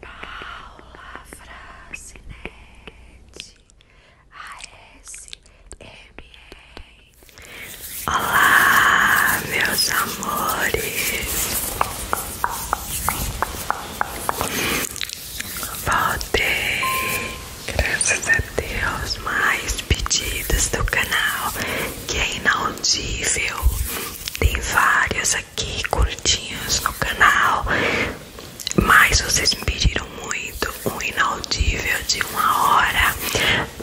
Paula Fracinete ASMR Olá, meus amores Voltei Graças a Deus Mais pedidos do canal Que é inaudível Tem vários aqui curtinhos no canal, mas vocês me pediram muito um inaudível de uma hora,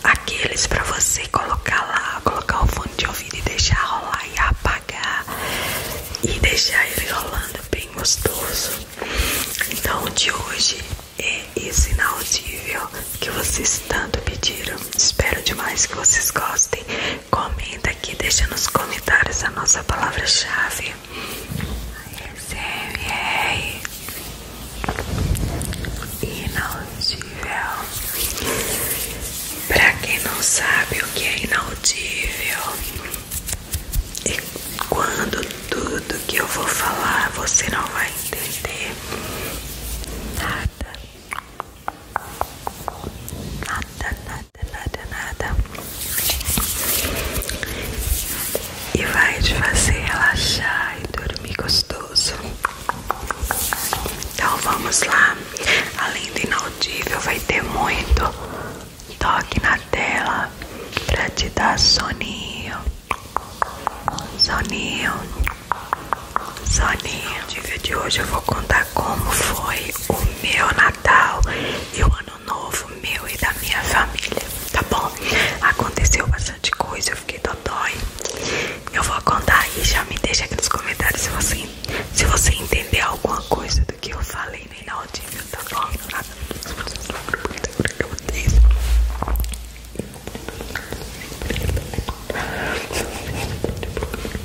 aqueles para você colocar lá, colocar o fone de ouvido e deixar rolar e apagar e deixar ele rolando bem gostoso. Então de hoje é esse inaudível que vocês tanto pediram. Espero demais que vocês gostem. Comenta aqui, deixa nos comentários a nossa palavra-chave ASMR Inaudível Pra quem não sabe o que é inaudível E quando tudo que eu vou falar você não vai entender Nada Nada, nada, nada, nada, e vai te fazer relaxar e dormir gostoso. Então vamos lá. Além do inaudível, vai ter muito toque na tela pra te dar soninho, soninho, soninho. No de hoje eu vou contar como foi o meu Natal e o Ano Novo meu e da minha família, tá bom? Aconteceu bastante coisa, eu fiquei dodói. Eu vou contar e já me deixa aqui nos comentários se você, se você entender alguma coisa do que eu falei no inaudível, tá bom?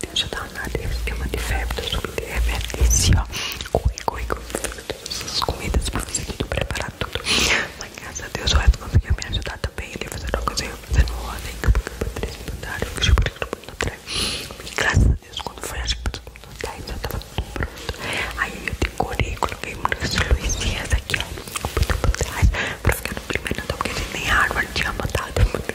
Deixa eu dar uma nariz, porque uma de febre, eu sou de febre, é esse ó, corre, corre, corre, todas essas comidas pra você tudo preparar tudo. Mas graças a Deus o resto conseguiu me ajudar também, ele fazer uma coisa, eu fazer uma ordem, que eu fui pra três mandaram, eu fui pra todo mundo atrás. E graças a Deus, quando foi, acho que pra todo mundo atrás, já tava tudo pronto. Aí eu decorei, coloquei muitas luzinhas aqui, ó, muito pra trás, pra ficar no primeiro andar, então, porque nem a árvore tinha matado, né?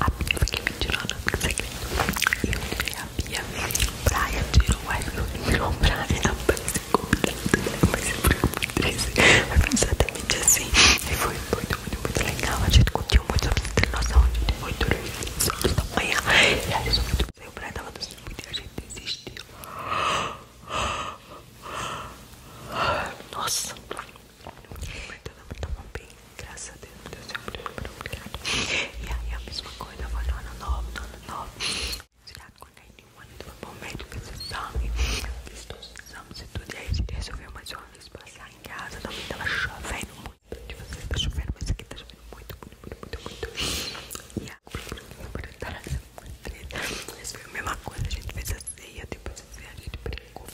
a Bia que me tirando o segredo. Eu levei a Bia, Praia tirou o iPhone, virou Praia, apareceu comprando, apareceu por 13. Foi exatamente assim. E foi muito, muito, muito legal. A gente curtiu muito sobre a noção de 8 horas da manhã. E aí, só muito bem, o Praia tava dos e a gente desistiu. Nossa. Mas todo então, mundo tomou bem, graças a Deus, Deus é muito E aí a mesma coisa foi no ano novo, no ano novo. Tirado quando a gente manda foi bom médico, fez exame, fiz todos os exames e tudo. E aí a gente resolveu mais uma vez passar em casa, também tava chovendo muito. De vocês tá chovendo, mas aqui tá chovendo muito, muito, muito, muito. E a essa tá né? foi a mesma coisa, a gente fez a ceia, depois a ceia a gente brincou,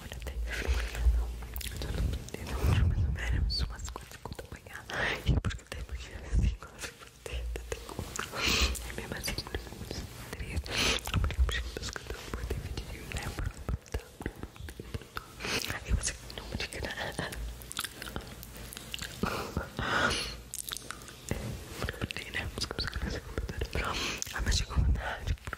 olha tem não, eu não preciso mais ou menos umas quatro contas apanhar e porque tem porque assim, quatro potentes tem como, é mesmo assim não porque eu preciso das contas por dividir, né, por botar aí você não briga nada é, porque eu botei, né, porque eu sou criança computadora ah, mas chegou vontade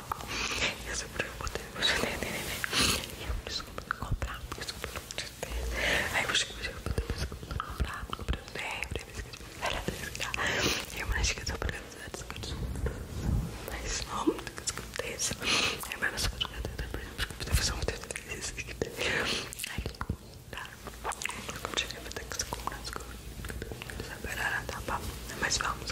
eu Isso que é eu poder você entender. que eu vou desculpa não comprar, desculpa não te ter. que eu escutei, eu poder desculpa não comprar, comprei um débito, era desligar. que eu vou me acho que eu tô pegando Mas não, muito que eu escutei isso. Aí que eu escutei, por exemplo, que eu fiz um texto. Aí tá. Eu cheguei a ter que eu vou desculpa. Não saberá, tá bom. Mas vamos,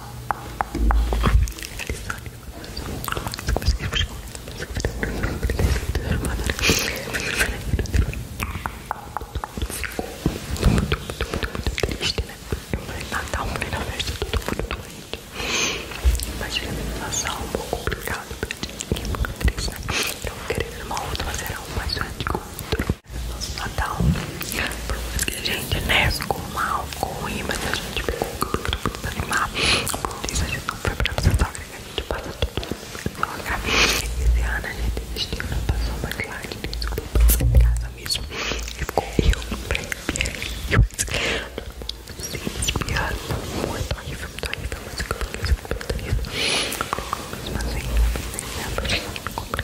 triste, né? Eu falei, Natal, falei na tudo todo mundo doente. Imagina a Natal um pouco complicado pra gente, que é muito triste, né? Então, querendo uma outra, mas era mais grande que Nosso Natal, por isso que a gente, né, ficou mal, ficou ruim, mas a gente pegou pra desanimar. Por isso a gente não foi pra sogra, a gente passa tudo pra sogra. Esse ano a gente desistiu, não passou mais lá, a gente desculpa em casa mesmo. E ficou eu, pra eu, se espiando muito horrível, muito horrível, mas eu tô feliz, muito horrível. Mas assim, eu pensei, né,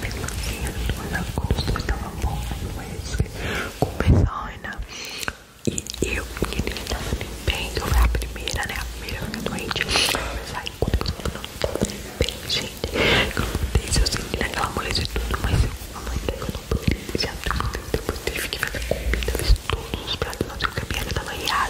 Mesmo assim, em agosto eu estava bom no Wesley com Besoina E eu, menina, que tava limpando, eu fui a primeira, né? A primeira fica doente Mas aí, quando eu não tava bem, gente Eu não deixo, eu senti naquela moleza e tudo Mas eu, a mãe daí, eu não pude Já depois tive que fazer comida Fiz todos os pratos, não sei o que a minha tava riada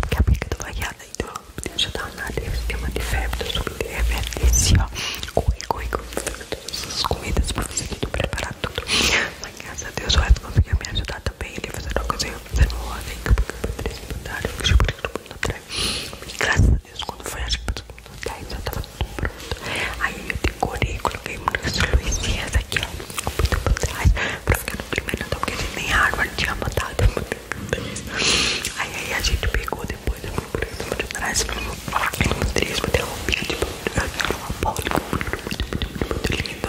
porque a pica tava guiada, então Deixa eu dar um nariz, tem uma febre, eu sou de febre, desse, ó. Corre, corre, corre, todas as comidas pra você tudo preparar Mas graças a Deus o resto conseguiu me ajudar também. Ele fazer uma coisa, fazer uma ordem, que eu eu fui por todo mundo atrás. E graças a Deus, quando foi, acho que pra todo mundo atrás, pronto. Aí eu decorei, coloquei muitas luzinhas aqui, ó, muito por trás, pra ficar no primeiro andar, então, porque nem Harvard tinha Aí aí a gente pegou depois eu fui por cima é de trás Era um trismo, tem uma roupinha tipo uma bola muito linda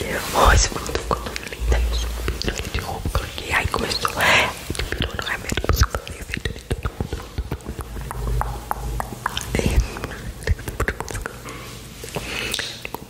E levou esse muito color linda E eu subi de roupa, coloquei Aí começou, pirou é, no remédio é Você falou, eu vi tudo Aí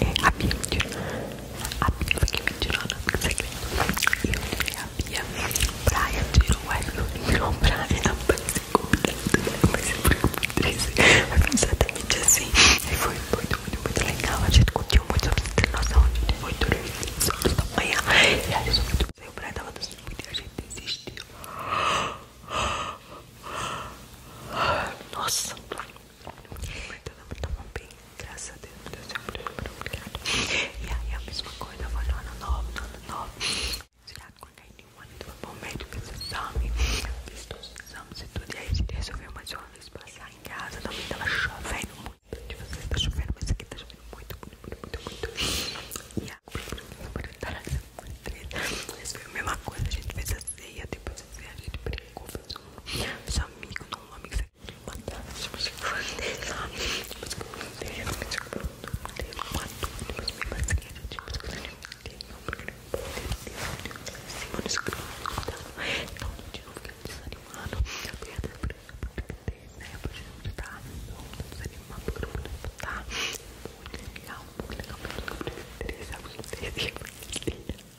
é a Bia me tirou. A Bia foi quem me tirou o nome do segredo. E eu tirei a Bia. Praia tirou o F. Virou praia. Não vai ser complicado. Vai ser muito triste. Foi exatamente assim. E foi muito, muito, muito legal. A gente curtiu muito sobre a internação. A gente foi dormir 6 manhã. E a gente sou muito muito e a gente desistiu. Nossa. Então não tá bom, bem, graças a Deus, Deus, é meu Deus, obrigado. E aí é a mesma coisa, eu vou no ano novo, ano novo. Se já quando é nenhum ano, foi bom médico, fez exame, fiz todos os exames e tudo. E aí a gente resolveu mais uma vez passar em casa, também tava chovendo muito. De vocês tá chovendo, mas aqui tá chovendo muito, muito, muito, muito, muito. E aí não a... Eles tá viram a mesma coisa, a gente fez a ceia, depois tipo, você viaja de brinco, fez um amigo, não um amigo, você matar, você vai deixar, você vai deixar, você vai deixar, você vai deixar, você vai deixar, se você novo, que eu desanimado, eu perdi a pressa porque tem, né? Eu podia gritar, não, você desanimado porque eu não vou botar. Muito legal, muito legal, muito legal, muito legal, muito legal, muito legal, muito legal.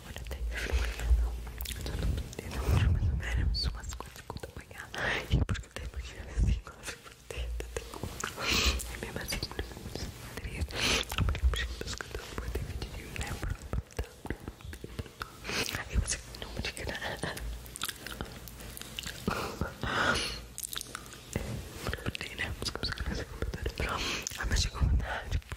agora até não mais ou menos umas coisa que eu apanhar e porque tem porque assim quase por dentro tem outro e mesmo assim não é muito triste porque eu preciso escutar um pouco de vídeo né aí você não me diga nada porque né porque você começa a comentar ah mas chegou vontade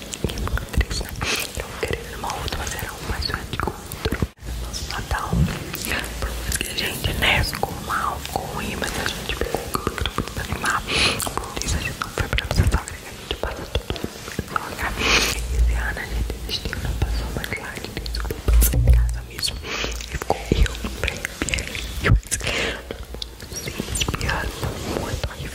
de implantes, né? Eu vou uma outra, mas era uma só de outro. Nosso Natal, por a gente, né, ficou mal, ficou ruim, mas a gente que ficou pra animar. Por isso a gente não foi para nossa sogra, a gente passa tudo na sogra. Esse ano a gente desistiu, não passou mais lá, a gente resolveu passar em casa mesmo. E ficou eu, pra ele, eu, eu, eu, eu, eu,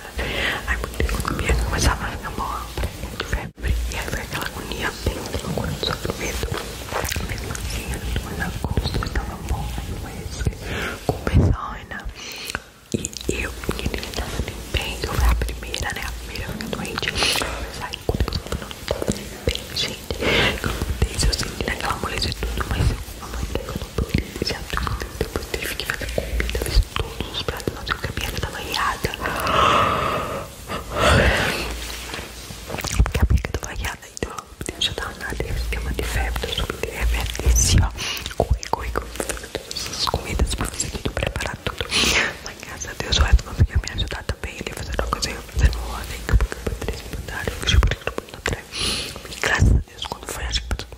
Aí por isso que começava a ficar boa de febre. E aí foi aquela agonia bem loucura do sofrimento. Mesmo assim, a gente foi na costa, estava bom, aí com besoina. E eu, menina, que tava nem bem, eu fui a primeira, né? A primeira fica doente. Eu saí com tudo, não tava nem bem, gente. Eu não sei se eu senti naquela moleza e tudo, mas eu, a mãe, eu não depois teve fiquei fazer comida, fiz todos os pratos, não sei o que a perna tava riada. Porque a perna tava riada, então já tava na esquema de febre, eu subi de febre, é desci, ó. Corri, corri, corri, todas essas comidas para fazer tudo, preparar tudo. Mas graças a Deus o resto conseguiu me ajudar também. Ele fazer uma coisa, fazendo ordem, acabou que eu fui três mandaram, eu fui por tudo, atrás. Né? E graças a Deus, quando foi, acho que pra todo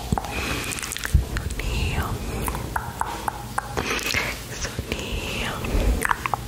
Soninho. Soninho. Aconteceu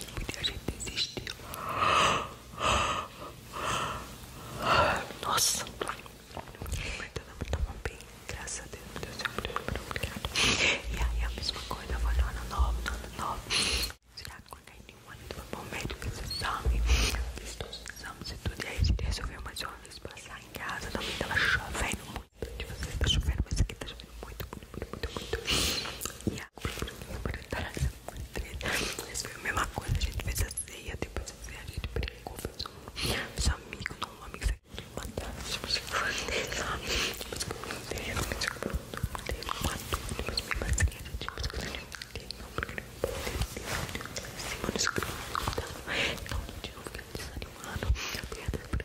tempo a gente desistiu. Nossa, mas todo mundo tava bem, graças a Deus, meu Deus, eu muito obrigado. E aí é a mesma coisa, eu falei, ano novo, ano novo. Será que quando a gente foi pro médico, esse exame, fiz todos os exames e tudo, e aí a mais uma vez passar em casa, também tava chovendo muito muito de vocês. Tá chovendo, mas aqui tá chovendo muito, muito, muito, muito. E a Mas foi a mesma coisa, a gente fez a ceia, depois a ceia a gente brincou, fez um seu amigo, não um amigo, uma tarde, mas eu falei, depois eu falei, depois eu falei, depois eu falei, depois eu falei, Mano, isso que eu não Então, de novo, fica desanimado. Eu perdi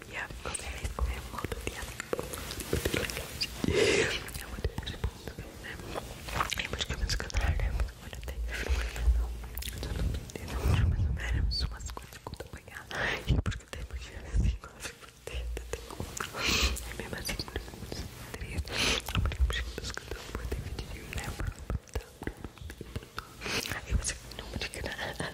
minha família é muito legal. É muito respondo, né? É muito que eu me descansar, né? Olha até. Eu não entendo, mas não menos umas coisas que eu apanhar. E porque tem porque assim, eu fico tenta, tem como. É mesmo assim, não é muito triste. Eu falei, porque eu descansar, eu vou ter vídeo, né? Aí você não me diga nada.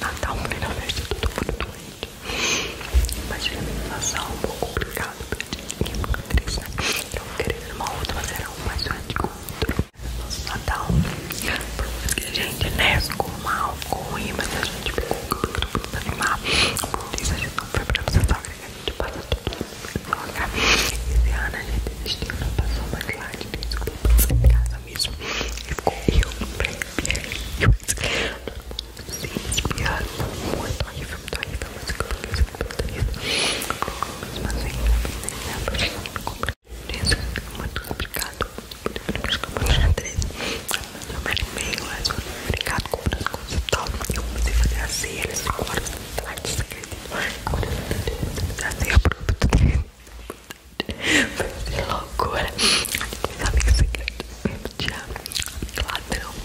Natal, mulher na festa, todo mundo doente. Mas a alimentação um pouco complicada pra eu vou crescer. Eu vou querer uma outra, mas era uma só de controle. Nosso Natal, por mais que a gente, né, com mal, ficou ruim, mas a gente ficou pra animado Por isso a gente não foi pra vocês sogra, a gente passa tudo pra nossa sogra. Esse ano a gente desistiu, não passou mais lá, a gente ficou em casa mesmo. E ficou eu, eu, eu, eu, eu, eu, eu, eu, eu, eu, eu, eu, eu, eu, eu, eu, muito complicado. Eu me animei, mas complicado comprar as coisas e tal. Eu comecei a fazer a ceia, eles ficaram tarde, Quando eu comecei a ceia, eu Foi loucura. Aí, meus amigos secretos, mesmo dia, ladrão.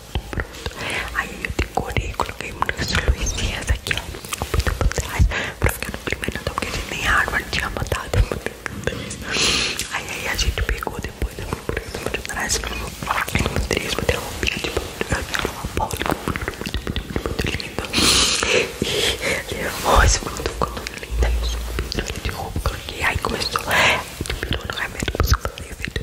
Pronto. Aí eu decorei, coloquei umas luzinhas aqui, ó. Muito reais pra ficar no primeiro andar, porque a gente nem a árvore tinha botado. Aí, aí a gente pegou depois, eu fui por exemplo de trás, aí no três, botei uma roupinha de pau, muito lindo. E levou esse mundo colando linda, eu subi, de roupa, coloquei, aí começou, tipo, no remédio, eu falei, eu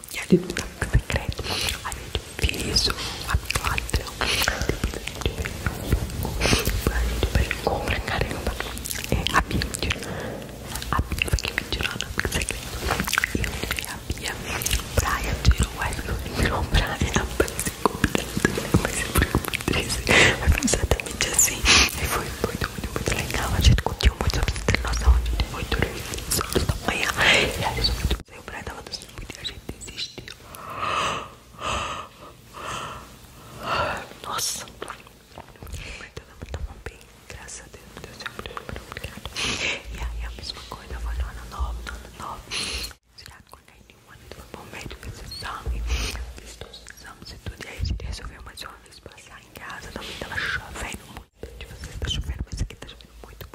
E a gente tá no secreto, a gente fez isso, a ladrão, a gente brincou pra caramba. É, a Bia a Bia que me tirou no secreto. Eu tirei a Bia, Brian tirou, a eu tirou o Brian, mas ficou mas ficou muito triste. Mas exatamente assim, e foi muito, muito, muito legal. A gente curtiu muito a nossa noção, a gente foi dormir, só da manhã, e aí eu só fui dormir, o Brian tava dormindo assim, a gente desistiu. Nossa, mas todo bem, graças a Deus, Deus é muito obrigado. E aí a mesma coisa foi no ano nova no ano novo. Tirado quando a gente foi pro médico, fez exame, fez todos os exames e tudo. E aí a gente resolveu mais uma vez passar em casa, também tava chovendo muito. De vocês tá chovendo, mas aqui tá chovendo muito.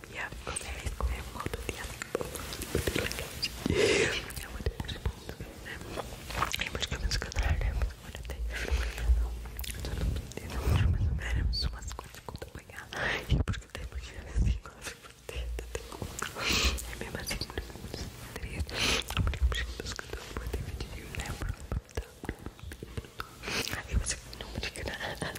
dia, você vai comer eu outro dia. É muito bom, né? eu muito bom esse canal, né? Olha, tem não. Eu não entendo, mas não veremos umas coisas quando apanhar. E porque tem porque assim, quando eu fico tenta, tem como. É mesmo assim, não é muito Porque eu preciso dos cantos, eu vou ter vídeo, né? Aí você não me diga nada.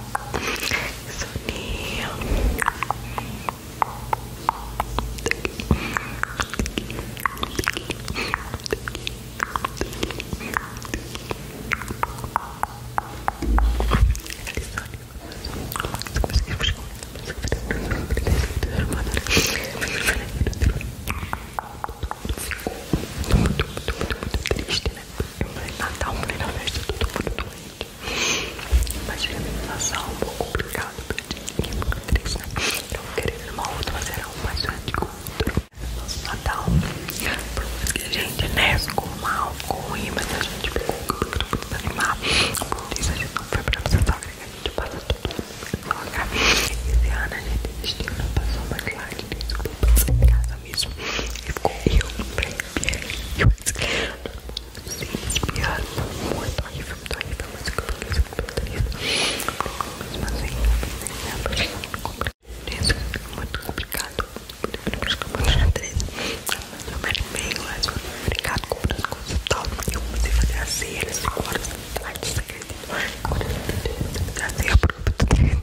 Soninho. Muito, muito, muito, muito triste né? Primeiro Natal, primeira festa, tá tudo muito doente. Mas eu ia passar um pouco complicado pra ti, fiquei é muito triste, né? Então eu queria ir outra, mas era um mais grande que Nosso Natal, por mais que a gente, né, com mal, com ruim, mas a gente ficou muito, muito desanimado. Por isso a gente não foi pra nossa sogra, que a gente passa tudo na sogra. Esse a gente não passou mais lá, a gente desculpa, e ficou eu pra eu espiado, muito horrível, muito horrível, mas eu comprei, eu comprei, eu comprei, mas aí, eu comprei, isso é muito complicado, depois que eu comprei três, eu me arrepei, mas foi complicado, comprei as coisas e tal, eu comecei a fazer a cera, 5 horas da tarde, você acredita? Agora eu fazer a prova do treino,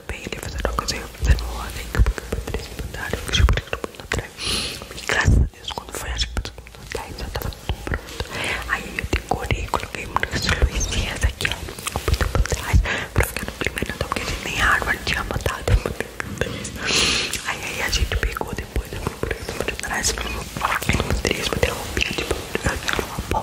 também ele fazendo uma coisa e eu fazendo outra. Eles mandaram, eu não que todo mundo atrás. E graças a Deus, quando foi, acho que todo mundo atrás já tava tudo pronto. Aí eu decorei, coloquei muitas luzinhas aqui, ó, muito pra trás, pra ficar no primeiro andar, porque a gente nem a árvore tinha botado. Aí, a gente pegou depois, eu fui por cima de trás, eu isso, botei a roupinha de tipo, uma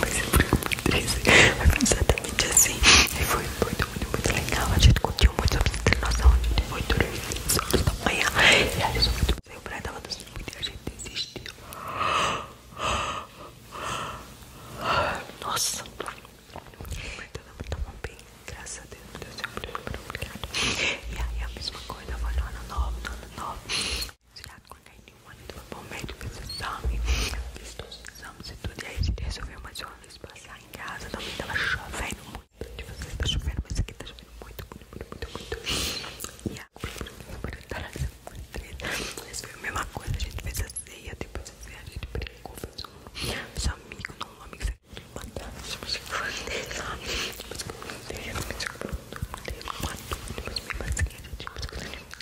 mas eu muito triste. Foi exatamente assim. E foi muito, muito, muito legal. A gente curtiu muito a nossa internação. A gente foi dormir às da manhã. E aí, eu sou muito bem. O praia tava doce muito e a gente desistiu. Nossa. Mas muito muito tava bem. Graças a Deus. Deus é muito obrigado. E aí, a mesma coisa foi no ano novo, no ano novo. Cuidado com a muito bom médico fez exame, fiz todos os exames e tudo. E aí a gente resolveu mais uma vez passar em casa. Também tava chovendo muito. De vocês tá chovendo, mas aqui tá chovendo muito, muito, muito, muito. E agora a mas foi a mesma coisa, a gente fez a ceia, depois a ceia a gente brincou, fez um amigo, não um amigo, uma dança, mas eu falei, sabe? Mas eu falei, eu falei, eu falei, eu falei, eu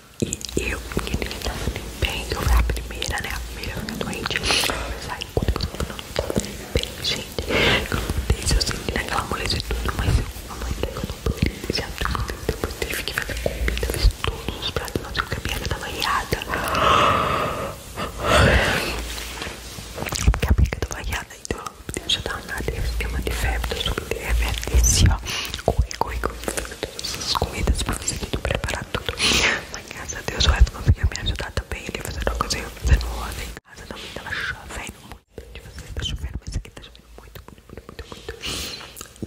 e eu, menina, não tava nem bem, que eu fui a primeira, né? A primeira fica doente. Eu saí quando eu não tava nem bem, gente. Eu não sei se eu senti naquela moleza e tudo, mas eu, a que eu não pude deixar tudo. Depois tive que fazer comida, fiz todos os pratos, mas eu cabia, eu tava riada. Porque a briga tava riada, então eu já tava na esquema de febre, eu subi de febre, desci, ó. Corri, corri, corri comidas para fazer tudo, preparar tudo. Mas graças a Deus o resto conseguiu me ajudar também. Ele fazendo uma coisa, fazendo uma roda em casa. Também tava chovendo muito. De vocês tá mas aqui tá chovendo muito, muito, muito, muito.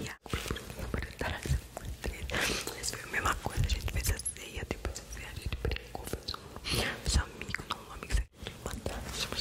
E a mas foi a mesma coisa. A gente fez a ceia, depois a ceia a gente brincou, fez um, fez um amigo, não um amigo, você mandar. Mas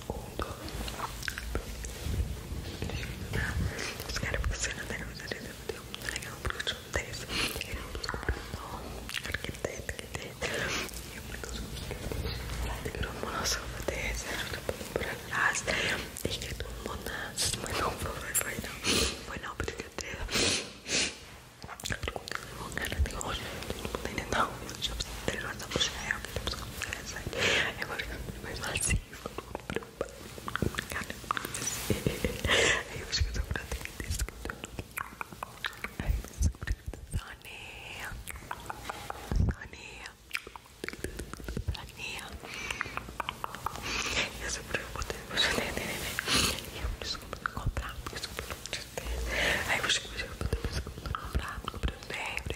segundo. Tá? Os caras funcionam da camisa dele, deu muito legal, porque eu tinha um 10. Ele não buscou pra não, arquiteto, arquiteto. E eu falei, eu sou arquiteto, que eu não posso fazer, sério, eu tô indo pra casa. E que tu monas, mas não foi, foi não. Foi não, porque eu tenho. Eu perguntei, cara, tem hoje, não tem nem não. Eu tinha 3 horas um mulher, eu queria buscar. Eu vou ficar mais macio. Aí eu acho que eu tô pra ter que Aí eu tô pra Sonia. Sonia. Sonia. Eu sou pra eu poder. Eu desculpa comprar. Desculpa. Aí eu acho que eu vou poder comprar. Comprei.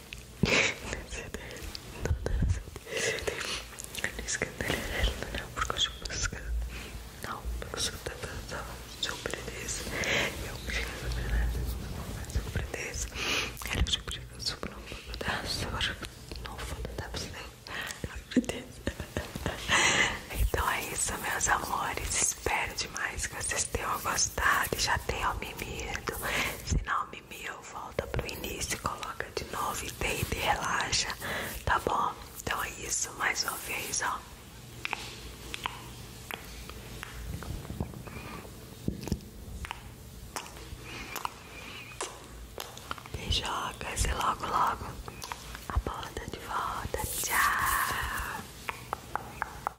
não, porque eu não, porque eu surpreendesse, eu surpreendesse, ela surpreendeu por um pouco da sua nova da Então é isso, meus amores. Espero demais que vocês tenham gostado. Já já tem o mimido. Se não mimiu, volta pro início, coloca de novo e deita e relaxa, tá bom? Então é isso, mais uma vez, ó. e joga e logo, logo a bola tá de volta. Tchau!